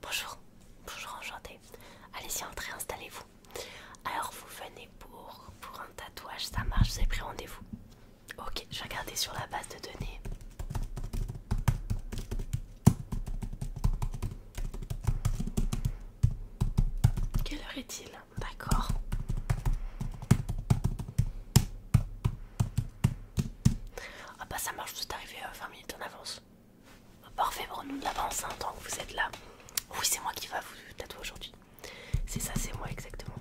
Bonjour, bonjour, enchanté. Allez-y, entrez, installez-vous. Alors, vous venez pour, pour un tatouage, ça marche, vous avez pris rendez-vous. Ok, je vais regarder sur la base de données. Quelle heure est-il D'accord. Ah bah ça marche, vous êtes arrivé 20 euh, minutes en avance. Parfait pour nous de l'avance, tant que vous êtes là. Oui, c'est moi qui va vous tatouer aujourd'hui. C'est ça, c'est moi exactement.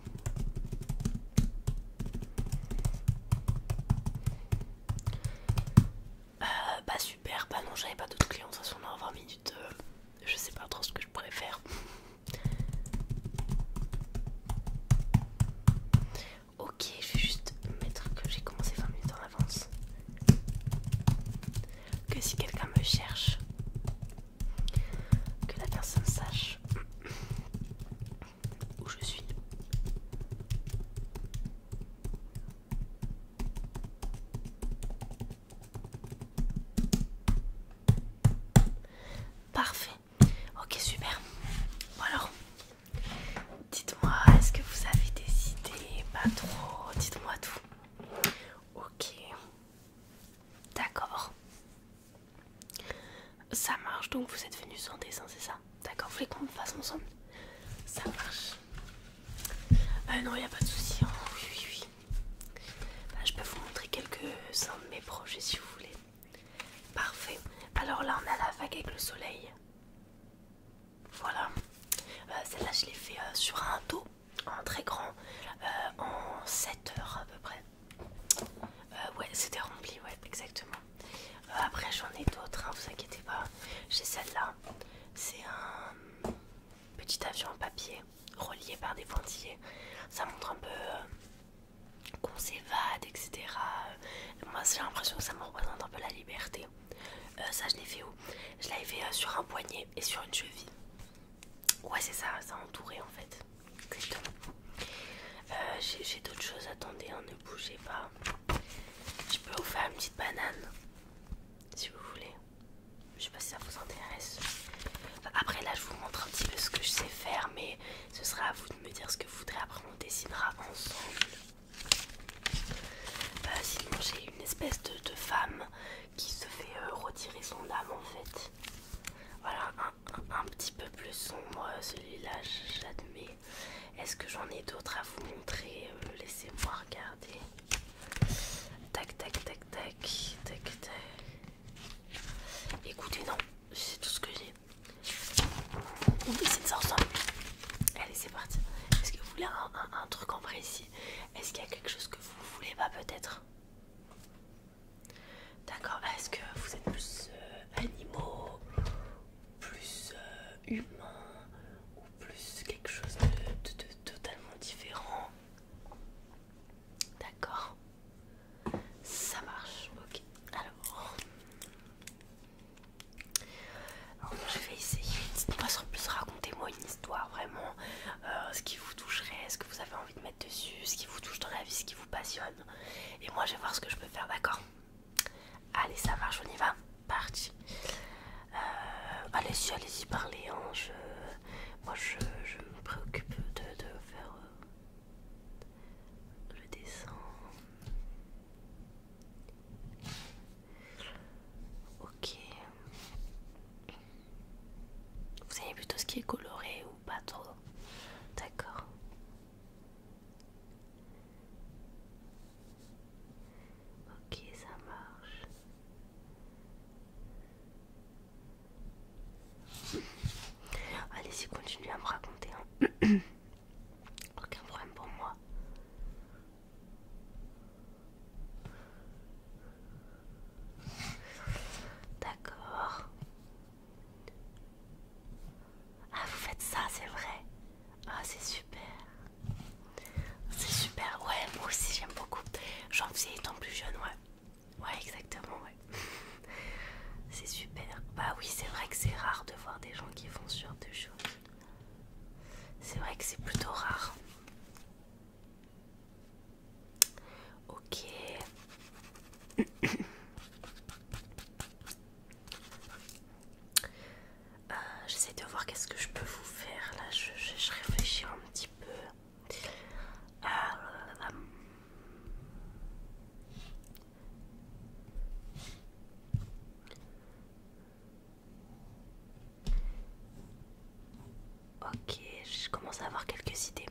Euh, bah super, bah non, j'avais pas d'autres clients, de toute façon, on a 20 minutes. Euh, je sais pas trop ce que je pourrais faire. Ok, je vais juste mettre que j'ai commencé 20 minutes en avance. Que si quelqu'un me cherche, que la personne sache où je suis. Parfait. Ok, super. Bon alors, Dites-moi, est-ce que vous avez des idées Pas trop, dites-moi tout. Ok. D'accord. Ça marche donc, vous êtes venu sans dessin, hein, c'est ça D'accord, vous voulez qu'on fasse ensemble Ça marche. Ah non, il n'y a pas de souci. Hein. Oui, oui, oui. je peux vous montrer quelques-uns de mes projets si vous voulez. Parfait. Alors là, on a la vague avec le soleil. Voilà, euh, celle-là je l'ai fait euh, sur un dos en très grand euh, en 7 heures à peu près. ouais, c'était rempli, ouais, exactement. après, j'en ai d'autres, hein, vous inquiétez pas. J'ai celle-là, c'est un petit avion en papier relié par des pointillés. Ça montre un peu qu'on s'évade, etc. Moi j'ai l'impression que ça me représente un peu la liberté. Euh, ça je l'ai fait où Je l'ai fait euh, sur un poignet et sur une cheville. Ouais c'est ça, ça entouré en fait. Exactement. Euh, j'ai d'autres choses, attendez, hein, ne bougez pas. Je peux vous faire une petite banane si vous voulez. Je sais pas si ça vous intéresse. après là je vous montre un petit peu ce que je sais faire mais ce sera à vous de me dire ce que vous voudrez. Après on dessinera ensemble. Bah sinon j'ai une espèce de, femme qui se fait euh, retirer son âme en fait. Voilà, un, petit peu plus sombre euh, celui-là, j'admets. Est-ce que j'en ai d'autres à vous montrer euh, Laissez-moi regarder. Tac, tac, tac, tac, tac, tac. Écoutez, non, c'est tout ce que j'ai allez, Allez, c'est parti. Est-ce que vous voulez un, truc en précis Est-ce qu'il y a quelque chose que vous voulez pas peut-être D'accord, est-ce que vous êtes plus euh, animaux, plus euh, humains ou plus quelque chose de totalement différent D'accord, ça marche, ok. Alors, alors, je vais essayer dites-moi plus racontez-moi une histoire vraiment, euh, ce qui vous toucherait, ce que vous avez envie de mettre dessus, ce qui vous touche dans la vie, ce qui vous passionne. Et moi je vais voir ce que je peux faire, d'accord Allez, ça marche, on y va, parti. Euh, allez-y, allez-y, parlez. Hein, moi je, me préoccupe de, faire euh, le dessin. Ok. Vous savez plutôt ce qui est coloré ou pas trop D'accord. Ok, ça marche. Allez-y, continuez à me raconter. Hein. Aucun problème pour moi. D'accord. Ah, vous faites ça, c'est vrai. Ah, c'est super. C'est super. Ouais, moi aussi, j'aime beaucoup. J'en faisais étant plus jeune, ouais. Ouais, exactement, ouais. c'est super. Bah oui, c'est vrai que c'est rare de voir des gens qui font sur genre choses. C'est vrai que c'est plutôt rare. Ok. Euh, j'essaie de voir qu'est-ce que je peux vous faire. Là, je, réfléchis un petit peu. Euh, Ok, je commence à avoir quelques idées.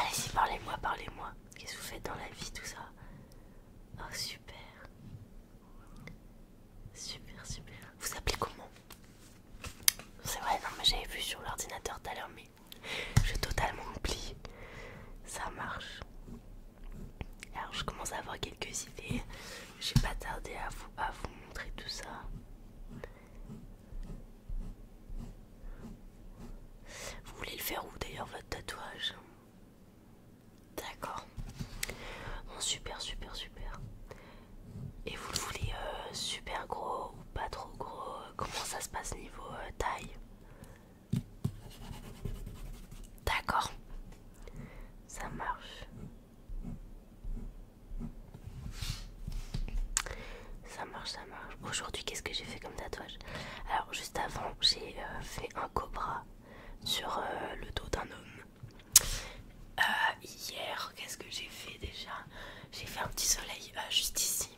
Allez-y, parlez-moi, parlez-moi. Qu'est-ce que vous faites dans la vie, tout ça Oh, super. Super, super. Vous, appelez comment C'est vrai, non, mais j'avais vu sur l'ordinateur tout à l'heure, mais je totalement oublie Ça marche. Alors je commence à avoir quelques idées. J'ai pas tardé à vous, montrer tout ça. Vous voulez le faire où d'ailleurs votre tatouage D'accord. Bon, super, super, super. Et vous le voulez euh, super gros ou pas trop gros Comment ça se passe niveau euh, taille D'accord, ça marche. Ça marche, ça marche. Aujourd'hui, qu'est-ce que j'ai fait comme tatouage Alors, juste avant, j'ai euh, fait un cobra sur euh, le dos d'un homme. Euh, hier, qu'est-ce que j'ai fait déjà J'ai fait un petit soleil juste ici.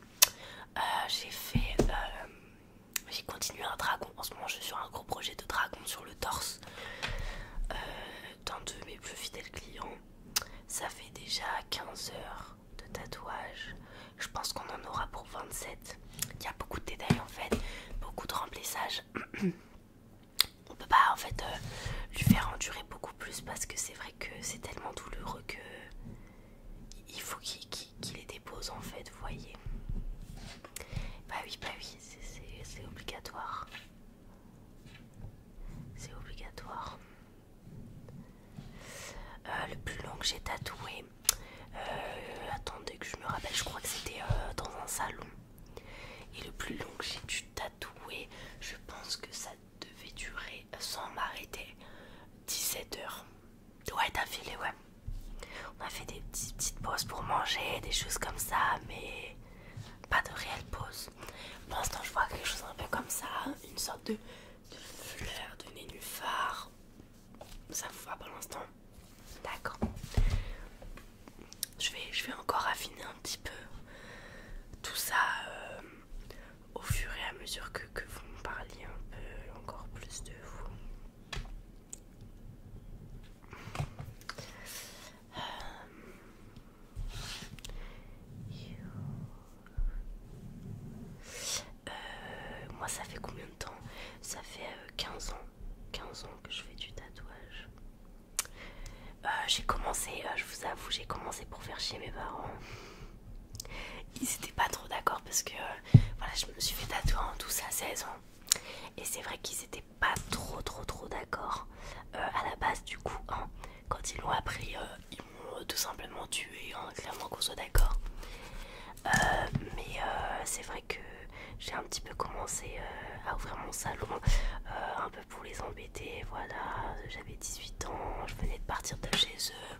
j'ai fait j'ai continué un dragon. En ce moment, je suis sur un gros projet de dragon sur le torse euh, d'un de mes plus fidèles clients. Ça fait déjà 15 heures de tatouage. Je pense qu'on en aura pour 27. Il y a beaucoup de détails en fait, beaucoup de remplissage. On peut pas en fait euh, lui faire endurer beaucoup plus parce que c'est vrai que c'est tellement douloureux que il faut qu'il les dépose en fait, vous voyez. Bah oui, bah oui, c'est obligatoire. C'est obligatoire. Euh, le plus long que j'ai tatoué, euh, attendez que je me rappelle, je crois que c'était euh, dans un salon. Et le plus long que j'ai dû tatouer, je pense que ça devait durer sans m'arrêter 17 heures. Ouais, d'affilée, ouais. On a fait des petites, pauses pour manger, des choses comme ça, mais pas de réelles pauses. Pour l'instant, je vois quelque chose un peu comme ça, une sorte de, fleur, de nénuphar. Ça vous va pour l'instant D'accord. Je vais, encore affiner un petit peu tout ça euh, au fur et à mesure que, que vous me parliez un peu encore plus de vous. Euh, moi ça fait combien de temps Ça fait 15 euh, ans. 15 ans que je fais du tatouage. Euh, j'ai commencé, je vous avoue, j'ai commencé pour faire chier mes parents ils n'étaient pas trop d'accord parce que voilà, je me suis fait tatouer en 12 à 16 ans. Et c'est vrai qu'ils n'étaient pas trop trop trop d'accord euh, à la base du coup. Hein. quand ils l'ont appris, euh, ils m'ont euh, tout simplement tué, hein, clairement qu'on soit d'accord. mais c'est vrai que j'ai un petit peu commencé à ouvrir mon salon, un peu pour les embêter, voilà, j'avais 18 ans, je venais de partir de chez eux,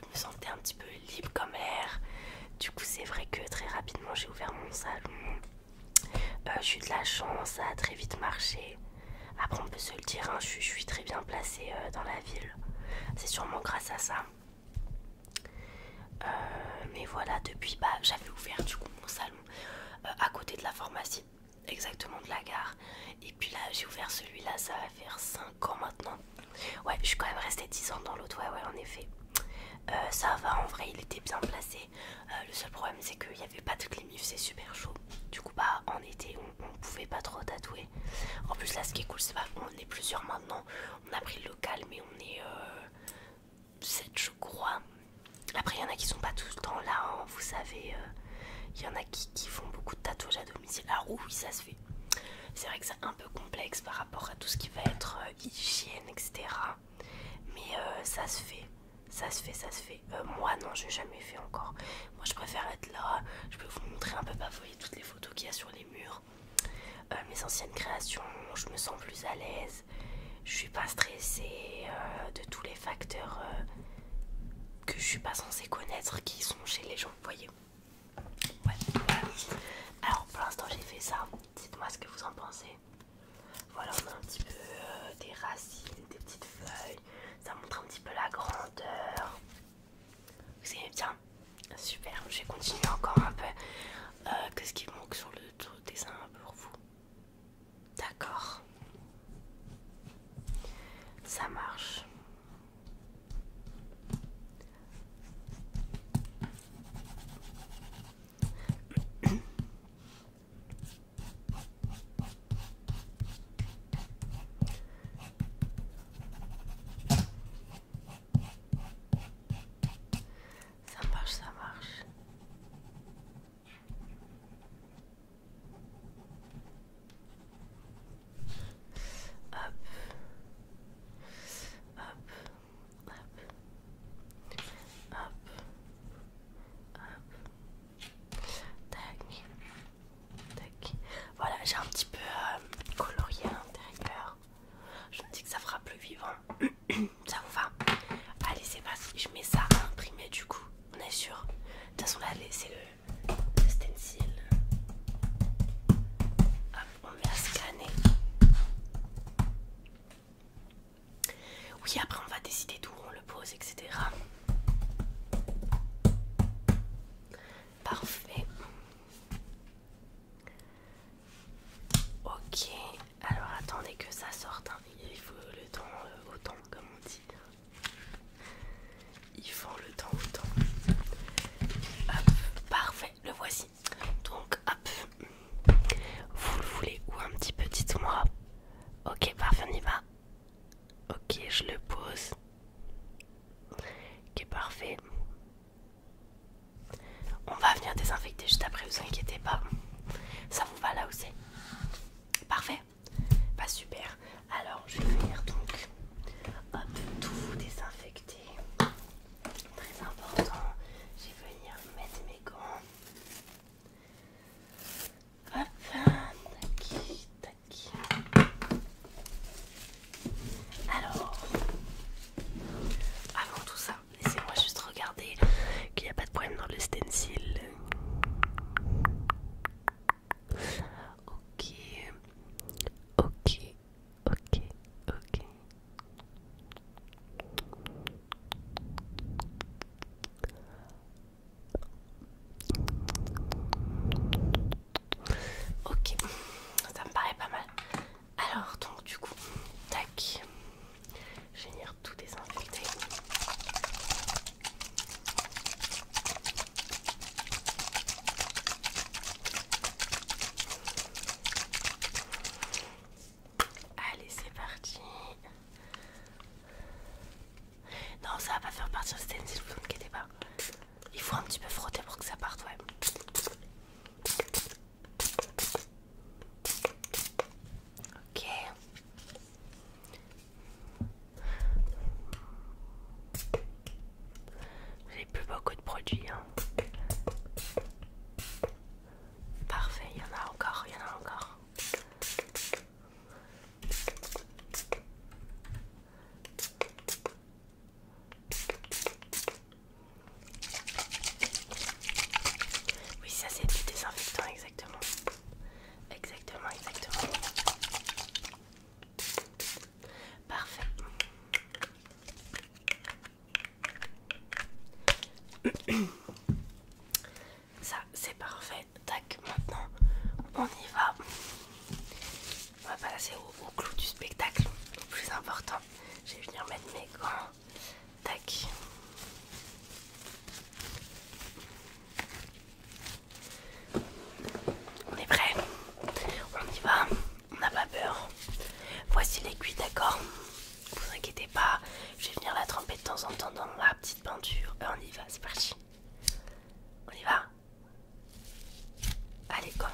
je me sentais un petit peu libre comme l'air. Du coup, c'est vrai que très rapidement, j'ai ouvert mon salon. Euh, j'ai eu de la chance, ça a très vite marché. Après, on peut se le dire, hein, je, suis très bien placée euh, dans la ville. C'est sûrement grâce à ça. Euh, mais voilà, depuis, bah, j'avais ouvert du coup mon salon à côté de la pharmacie, exactement de la gare. Et puis là, j'ai ouvert celui-là, ça va faire 5 ans maintenant Ouais, je suis quand même restée 10 ans dans l'autre, ouais, ouais, en effet. Euh, ça va, en vrai, il était bien placé. Euh, le seul problème, c'est qu'il n'y avait pas de climif, c'est super chaud. Du coup, bah, en été, on, pouvait pas trop tatouer. En plus, là, ce qui est cool, c'est on est plusieurs maintenant. On a pris le local, mais on est 7, euh, je crois. Après, il y en a qui sont pas tout le temps là, hein, vous savez. Il y en a qui, font beaucoup de tatouages à domicile. Alors, oui, ça, se c'est vrai que c'est un peu complexe par rapport à tout ce qui va être euh, hygiène, etc. Mais euh, ça se fait, ça se fait, ça se fait. Euh, moi, non, je n'ai jamais fait encore. Moi, je préfère être là. Je peux vous montrer un peu, pas bah, vous voyez toutes les photos qu'il y a sur les murs. mes anciennes créations, je me sens plus à l'aise. Je suis pas stressée de tous les facteurs que je suis pas censée connaître qui sont chez les gens, vous voyez. Alors pour l'instant j'ai fait ça. Dites-moi ce que vous en pensez. Voilà, on a un petit peu euh, des racines, des petites feuilles. Ça montre un petit peu la grandeur. Vous aimez bien Super, je vais continuer encore un peu. Euh, Qu'est-ce qui manque sur le dessin pour vous D'accord. Ça marche. Ça marche, ça marche. Hop. Hop. Hop. Hop. Hop. Tac. Tac. Voilà, j'ai un petit peu colorier euh, colorié à l'intérieur. Je me dis que ça fera plus vivant. ça vous va Allez, c'est parti. Je mets ça à imprimer du coup. On est sûr. De toute façon, là, c'est le le stencil. on va scanner. Oui, après on va décider d'où on le pose, etc. Parfait. Ok, alors attendez que ça sorte. Hein. Il faut le temps euh, temps, comme on dit. Il font le temps le temps. Hop, parfait, le voici. Donc, hop, vous le voulez ou un petit peu, dites-moi. Ok, parfait, on y va. Ok, je le pose. Ok, parfait. On va venir désinfecter juste après, vous inquiétez pas. Ça vous va là aussi Parfait. Pas bah, super. Alors je vais venir donc hop, tout désinfecter. Très important. Je vais venir mettre mes gants. Hop, tac, tac. Alors, avant tout ça, laissez-moi juste regarder qu'il n'y a pas de problème dans le stencil. Ok, ok, ok, ok. Ok, ça me paraît pas mal. Alors, donc, du coup, tac, je vais venir tout désinfecter. Allez, c'est parti. Non, ça va pas faire partir le stencil, vous inquiétez pas. Il faut un petit peu frotter pour que ça parte, ouais. Ok. J'ai plus beaucoup de produits. Hein. Parfait, il y en a encore, il y en a encore. Oui, ça c'est du désinfectant, exactement. Exactement, exactement. Parfait. Ça, c'est parfait. Tac, maintenant, on y va. On va passer au, clou du spectacle, le plus important. Je vais venir mettre mes gants. Tac. On est prêt On y va On n'a pas peur. Voici l'aiguille, d'accord Vous inquiétez pas, je vais venir la tremper de temps en temps dans ma petite peinture. Euh, on y va, c'est parti. On y va Allez, comme.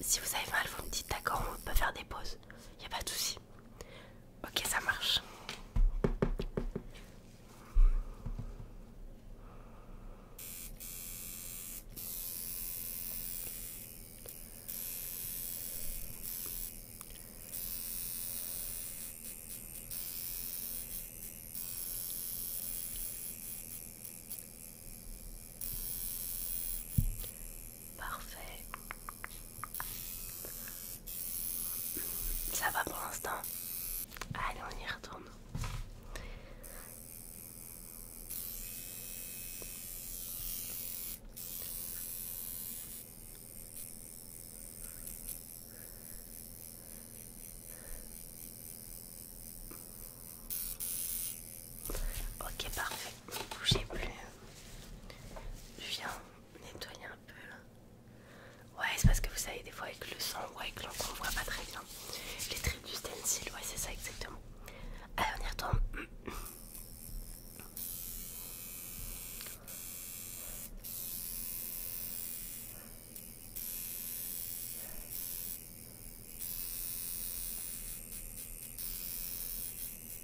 Si vous avez mal, vous me dites d'accord, on peut faire des pauses. Il a pas de souci. Ok, ça marche. Parfait. Ça va pour l'instant. Allez, on y retourne. Ok, parfait. Bougez plus je viens nettoyer un peu là. Ouais, c'est parce que vous savez, des fois avec le sang ou avec l'encre, on voit pas très bien les traits du stencil. Ouais, c'est ça exactement. Allez, on y retourne.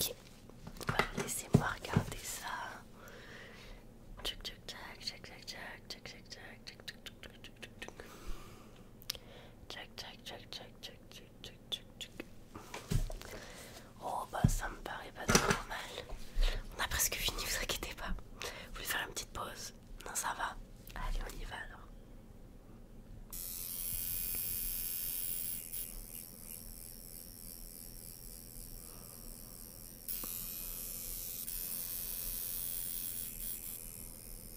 Ok, laissez-moi regarder ça. Oh bah ça me paraît pas trop mal. On a presque fini, vous inquiétez pas. Vous voulez faire une petite pause Non ça va. Allez on y va alors.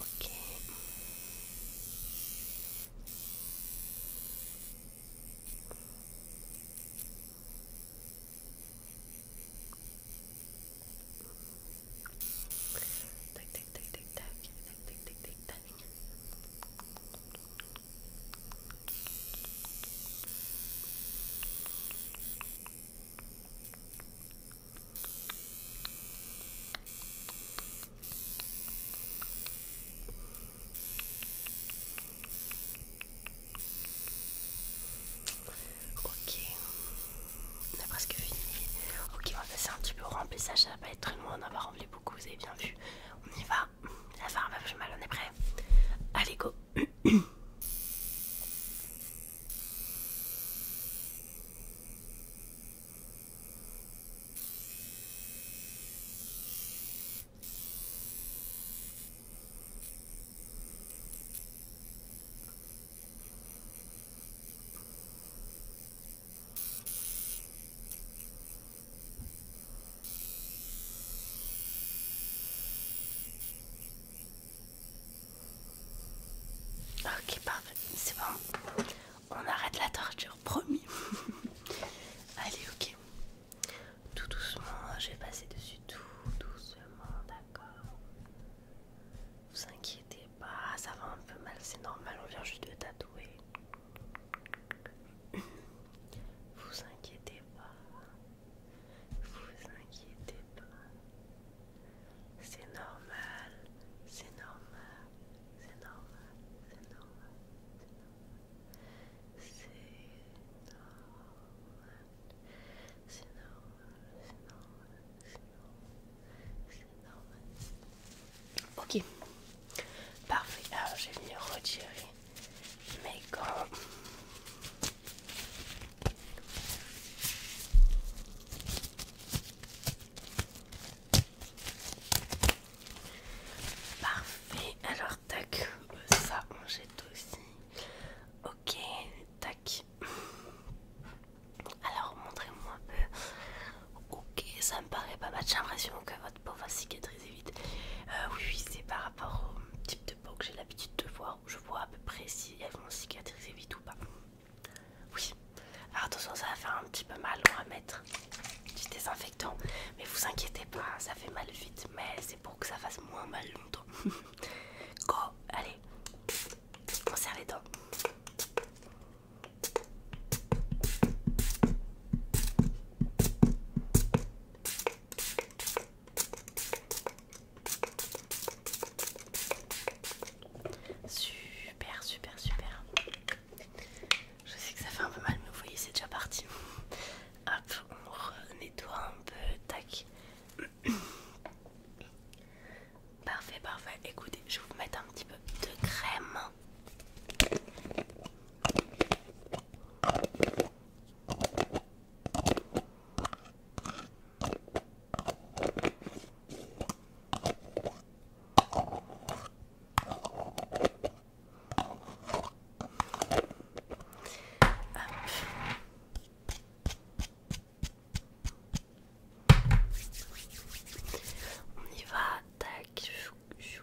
Okay. Tick, tick, tick, tick, tick, tick, tick, tick, tick, Ok, on est presque fini. Ok, on va passer un petit peu au remplissage, ça va pas être très loin, on rempli va rempli beaucoup, vous avez bien vu. On y va, ah, la farine va plus mal, on est prêt. Allez, go. Ok, parfait, c'est bon. On arrête la torture, promis. Allez, ok. Tout doucement, je vais passer dessus tout doucement, d'accord Vous inquiétez pas, ça va un peu mal, c'est normal, on vient juste de tatouer. Vous inquiétez pas. Vous inquiétez pas. C'est normal, c'est normal, c'est normal, c'est normal, c'est normal. C'est normal, c'est normal, c'est normal, Ok, parfait. Alors j'ai venir retirer mais quand Parfait, alors tac, ça on jette aussi. Ok, tac. Alors montrez-moi un peu. Ok, ça me paraît pas mal. J'ai l'impression que votre pour va cicatriser vite. Euh, oui, oui, c'est par rapport au type de peau que j'ai l'habitude de voir. Où je vois à peu près si elles vont cicatriser vite ou pas. Oui, alors attention, ça va faire un petit peu mal. On va mettre du désinfectant, mais vous inquiétez pas, ça fait mal vite. Mais c'est pour que ça fasse moins mal longtemps. Go, allez, on serre les dents. Super, super, super. Je sais que ça fait un peu mal, mais vous voyez, c'est déjà parti. Hop, on nettoie un peu, tac. Parfait, parfait. Écoutez, je vais vous mettre un petit peu de crème. On y va, tac, chou, chou.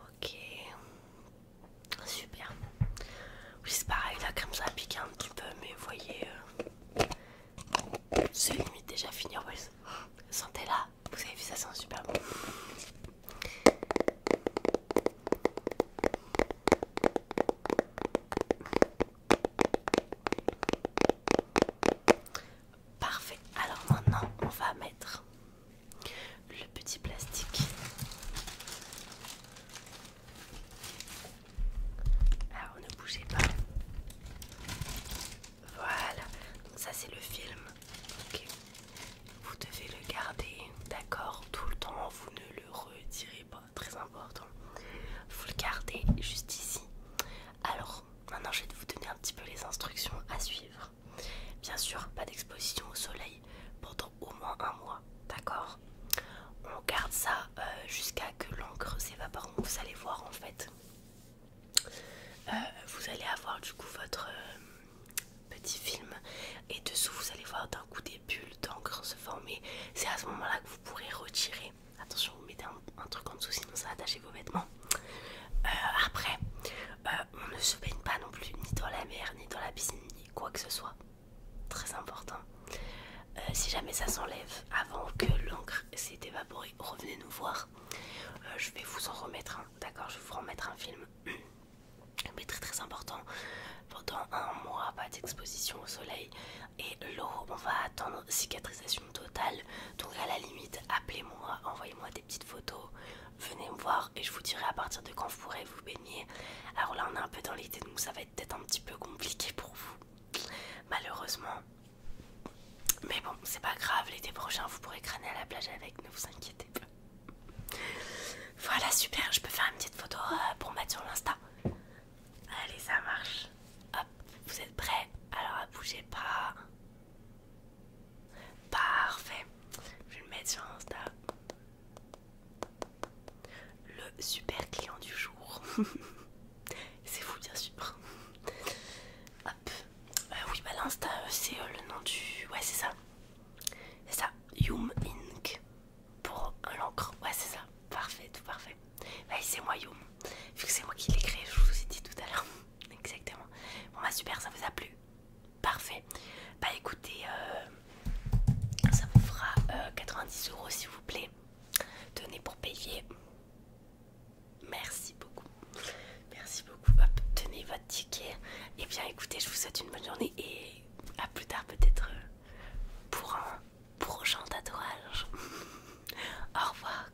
Ok, super. Oui, c'est pareil, là comme ça pique un petit peu, mais vous voyez, euh, c'est limite déjà fini. En plus, sentez là, vous avez vu, ça sent super bon. Parfait, alors maintenant on va mettre le petit plastique. Alors ah, ne bougez pas. Voilà, ça c'est le film. Vous devez le garder, d'accord, tout le temps, vous ne le retirez pas, très important. Vous le gardez juste ici. Alors, maintenant je vais vous donner un petit peu les instructions à suivre. Bien sûr, pas d'exposition au soleil pendant au moins un mois, d'accord On garde ça euh, jusqu'à que l'encre s'évapore. Vous allez voir en fait. Euh, vous allez avoir du coup votre euh, petit film et dessous vous allez voir d'un coup des bulles d'encre se former. C'est à ce moment-là que vous pourrez retirer. Attention, vous mettez un, truc en dessous sinon ça va attacher vos vêtements. après, bah, on ne se baigne pas non plus ni dans la mer, ni dans la piscine, ni quoi que ce soit. Très important. Euh, si jamais ça s'enlève avant que l'encre s'est évaporée, revenez nous voir. Euh, je vais vous en remettre un, d'accord Je vais vous remettre un film. Mais très très important, pendant un mois, pas d'exposition au soleil et l'eau, on va attendre cicatrisation totale, total. Donc à la limite, appelez-moi, envoyez-moi des petites photos, venez me voir et je vous dirai à partir de quand vous pourrez vous baigner. Alors là, on est un peu dans l'idée de nous, ça va être peut-être un petit peu compliqué pour vous, malheureusement. Mais bon, c'est pas grave, l'été prochain, vous pourrez crâner à la plage avec, ne vous inquiétez pas. Voilà, super, je peux faire une petite photo euh, pour mettre sur l'Insta. Allez, ça marche. Hop, vous êtes prêts Alors, bougez pas. Parfait. Je vais le mettre sur Insta. Le super client du jour. c'est fou, bien sûr. Hop. Euh, oui, bah l'Insta, euh, c'est euh, le nom du... Ouais, c'est ça. C'est ça. Yum Inc. Pour l'encre. Ouais, c'est ça. Parfait, tout parfait. Bah, c'est moi Yum. Vu que c'est moi qui l'ai créé, je vous ai dit tout à l'heure. Exactement. Bon bah super, ça vous a plu Parfait. Bah écoutez, euh, ça vous fera 90 euh, euros s'il vous plaît. Tenez pour payer. Merci beaucoup. Merci beaucoup. tenez votre ticket. Et eh bien écoutez, je vous souhaite une bonne journée et à plus tard peut-être euh, pour un prochain tatouage. Au revoir.